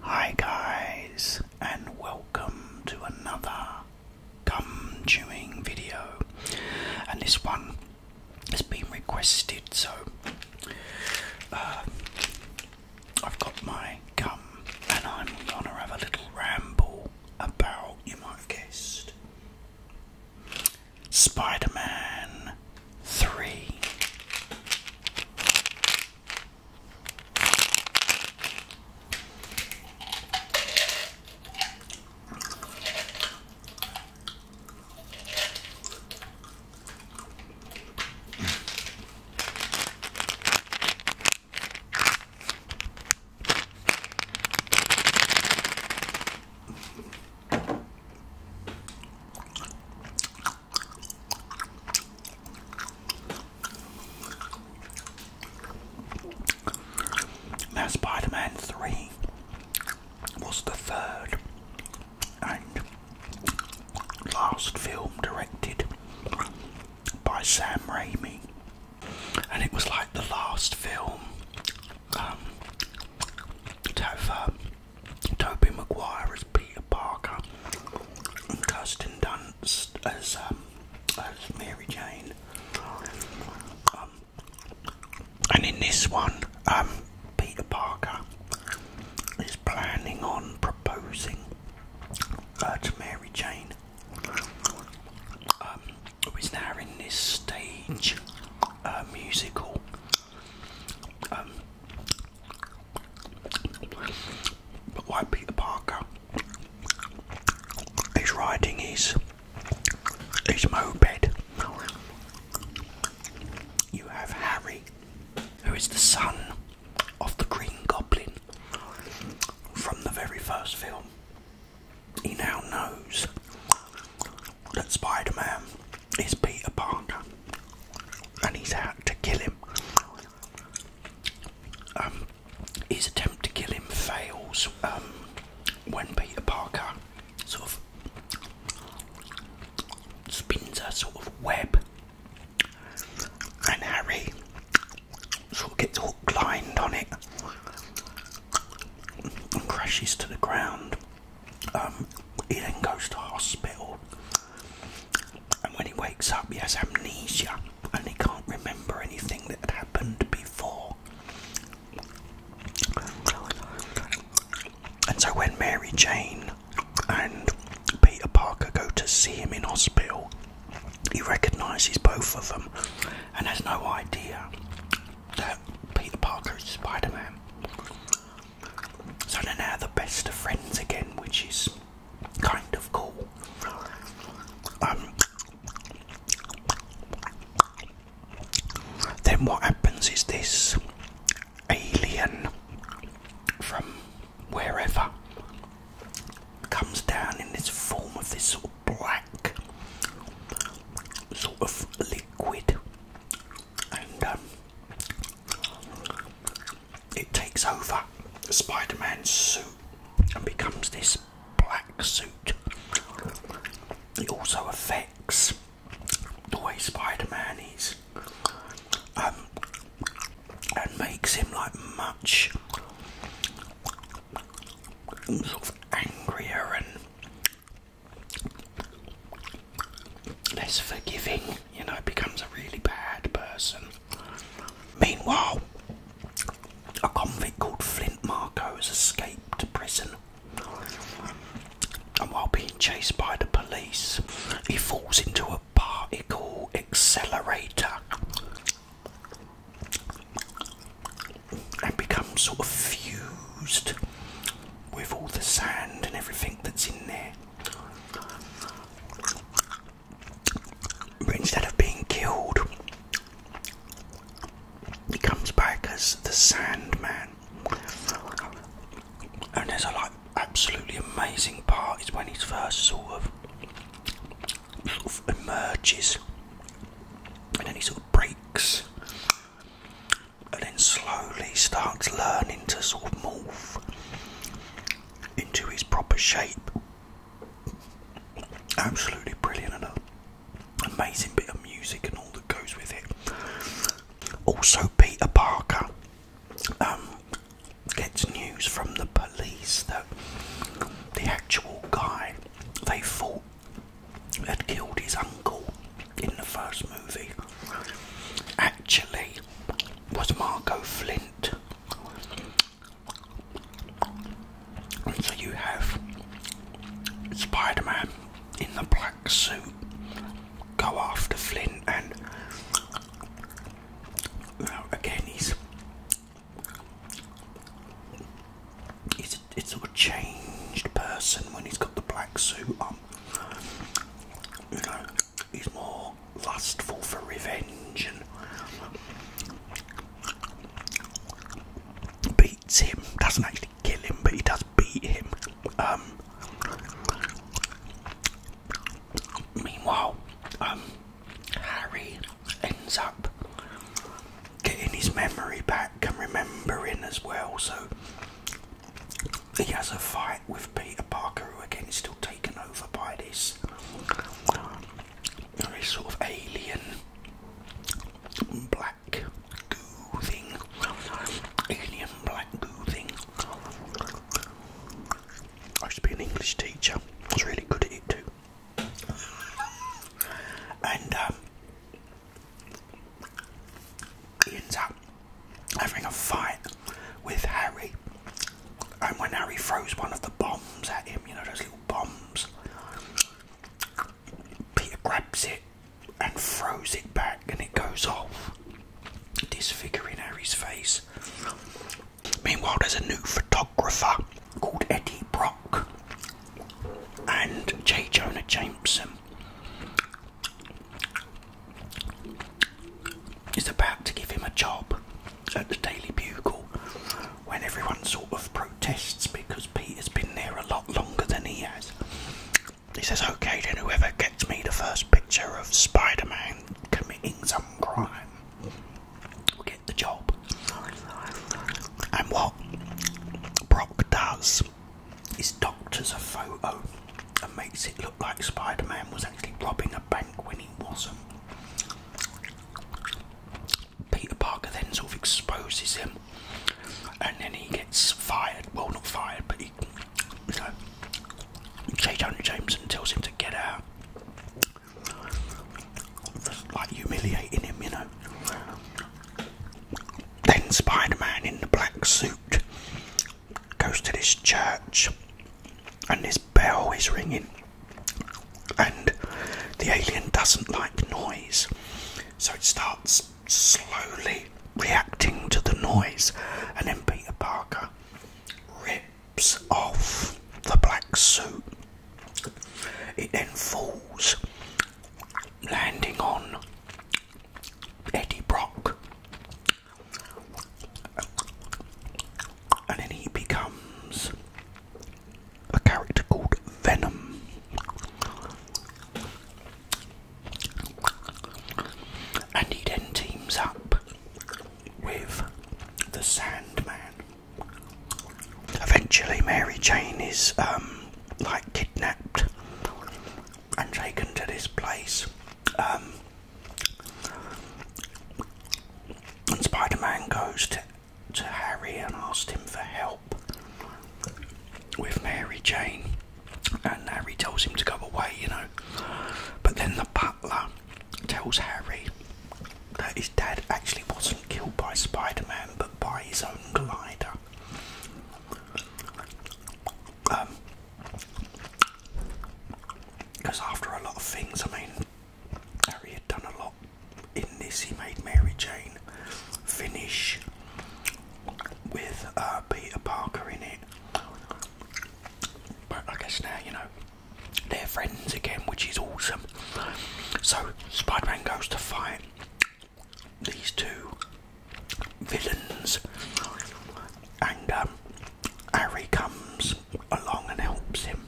Hi, guys, and welcome to another gum chewing video. And this one has been requested, so uh, I've got my gum, and I'm gonna have a little ramble about, you might have guessed, Spider Man 3. Now, Spider Man 3 was the third and last film directed by Sam Raimi and it was like the last film um, to um, Maguire as Peter Parker and Kirsten Dunst as, um, Mary Jane. Um, and in this one, Peter Parker is planning on proposing uh, to Mary Jane um, now in this stage uh, musical. Um, but why Peter Parker is riding his his moped. You have Harry, who is the son of the Green Goblin from the very first film. He now knows that Spider Man is Peter Parker and he's out to kill him. Um, his attempt to kill him fails um, when Peter Parker sort of spins a sort of web and Harry sort of gets hook lined on it and crashes to the ground. Um, he then goes to hospital, and when he wakes up, he has amnesia and he can't remember anything that had happened before. And so, when Mary Jane and Peter Parker go to see him in hospital, he recognises both of them and has no idea that Peter Parker is Spider Man. So they're now the best of friends again, which is kind of cool. Um, then what happens is this alien from wherever comes down in this form of this sort black sort of liquid and um, it takes over Spider-Man's suit and becomes this black suit. It also affects the way Spider-Man is um, and makes him like much I'm angrier and less forgiving, you know, becomes a really bad person. Meanwhile, a convict called Flint Marco has escaped prison. And while being chased by the police, he falls into a particle accelerator and become sort of fused with all the sand and everything that's in there. But instead of being killed, he comes back as the Sandman. And there's a like absolutely amazing part is when he's first sort of emerges and then he sort of breaks and then slowly starts learning to sort of morph into his proper shape. Absolutely brilliant and an amazing bit of music and all that goes with it. Also, Peter Parker um, gets news from the police that the actual guy they thought had killed his uncle in the first movie actually was Marco Flint. And so you have Spider Man in the black suit go after Flint, and again, he's He's a, he's a changed person when he's got the black suit on. You know, he's more lustful for revenge and beats him. Doesn't actually kill him, but he does beat him. Um, meanwhile, um, Harry ends up getting his memory back and remembering as well. So he has a fight with Peter Parker, who again is still taken over by this, very uh, sort of alien black goo thing. Alien black goo thing. I used to be an English teacher. I was really good at it too and he ends up having a fight with Harry. And when Harry throws one of the bombs at him, you know, those little bombs, Peter grabs it and throws it back and it goes off, disfiguring Harry's face. Meanwhile, there's a new photographer called Eddie Brock and Jay Jonah Jameson is about to give him a job at the Daily Bugle when everyone sort of protests because Pete has been there a lot longer than he has. He says, okay, then whoever gets me the first picture of Spider Man committing some crime the job. And what Brock does is doctors a photo and makes it look like Spider Man was actually robbing a bank when he wasn't. Peter Parker then sort of exposes him and then he gets fired. Well, not fired, but he. So, J. Jonah Jameson tells him to get out. Just like humiliating him, you know. Then Spider Man in the black suit goes to this church and this bell is ringing, and the alien doesn't like noise, so it starts slowly reacting to the noise, and then Peter Parker rips off the black suit. It then falls landing on Eddie Brock. And then he becomes a character called Venom. And he then teams up with the Sandman. Eventually, Mary Jane is um, like kidnapped and taken to this place. Um, and Spider Man goes to, to Harry and asks him for help with Mary Jane. And Harry tells him to go away, you know. But then the butler tells Harry that his dad actually was not killed by Spider Man but by his own glider. Because um, after a lot of things, I mean, Harry had done a lot in this. He made Mary Jane finish with uh, Peter Parker in it. But I guess now, you know, they're friends again, which is awesome. So Spider Man goes to fight these two villains, and um, Harry comes along and helps him.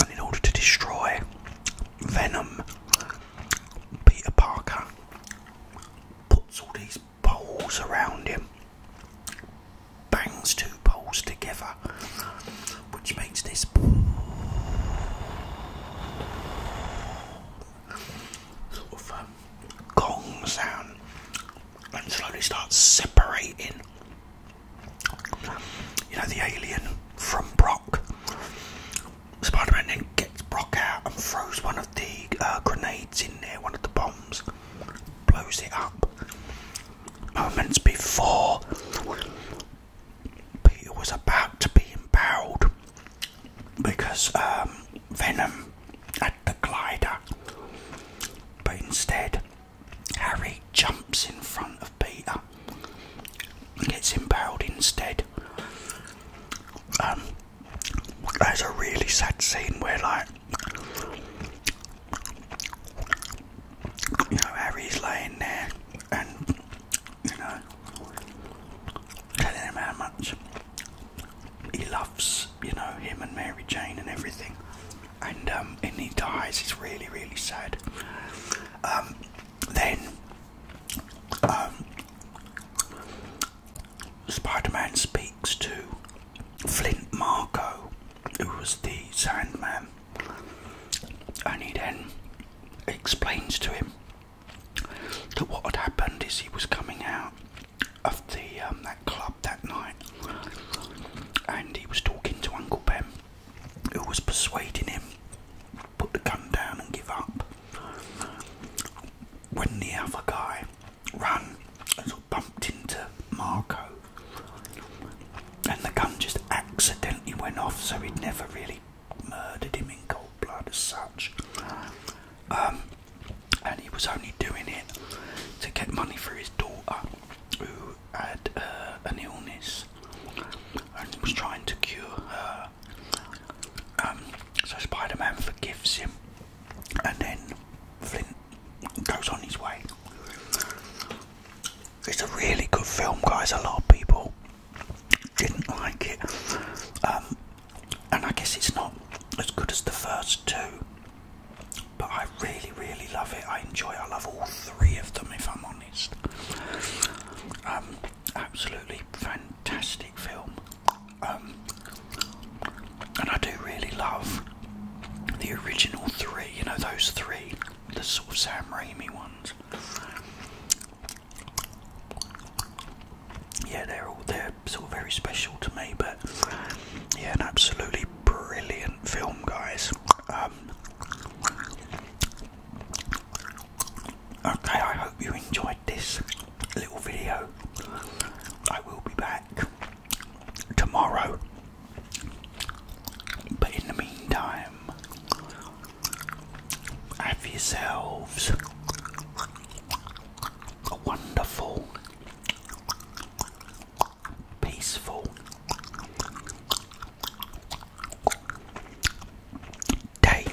And in order to destroy Venom, Peter Parker puts all these poles around him, bangs two poles together, which makes this sort of um, sound and slowly starts separating. You know, the alien from Brock. Spider Man then gets Brock out and throws one of the uh, grenades in there, one of the bombs blows it up. Moments before, Peter was about to be impaled because um, Venom had the glider, but instead, Harry jumps in front of Peter and gets impaled instead. Um, there's a really sad scene where, like, you know, Harry's laying there and, you know, telling him how much he loves, you know, him and Mary Jane and everything. And, um, and he dies. It's really, really sad. Um, then, um, Spider Man speaks to Flint Marco, who was the Sandman, and he then explains to him that what had happened is he was coming out of the um, that club that night, and he was talking to Uncle Ben, who was persuading him put the gun down and give up. When the other guy ran, bumped into Marco, and the gun just accidentally went off, so he'd never really murdered him in cold blood as such. Um, and he was only doing it to get money for his daughter, who had uh, an illness, and was trying to cure her. Um, so Spider-Man forgives him, and then Flint goes on his way. It's a really good film, guys. A lot of people didn't like it, um, and I guess it's not as good as the first two. But I really, really love it. I enjoy. It. I love all three of them, if I'm honest. Um, absolutely fantastic film. Um, and I do really love the original three, you know, those three, the sort of Sam Raimi ones. Yeah, they're all they're sort of very special to me, but yeah, an absolutely brilliant film, guys. Um, okay, I hope you enjoyed this little video. I will be back tomorrow. But in the meantime, have yourselves a wonderful, peaceful day.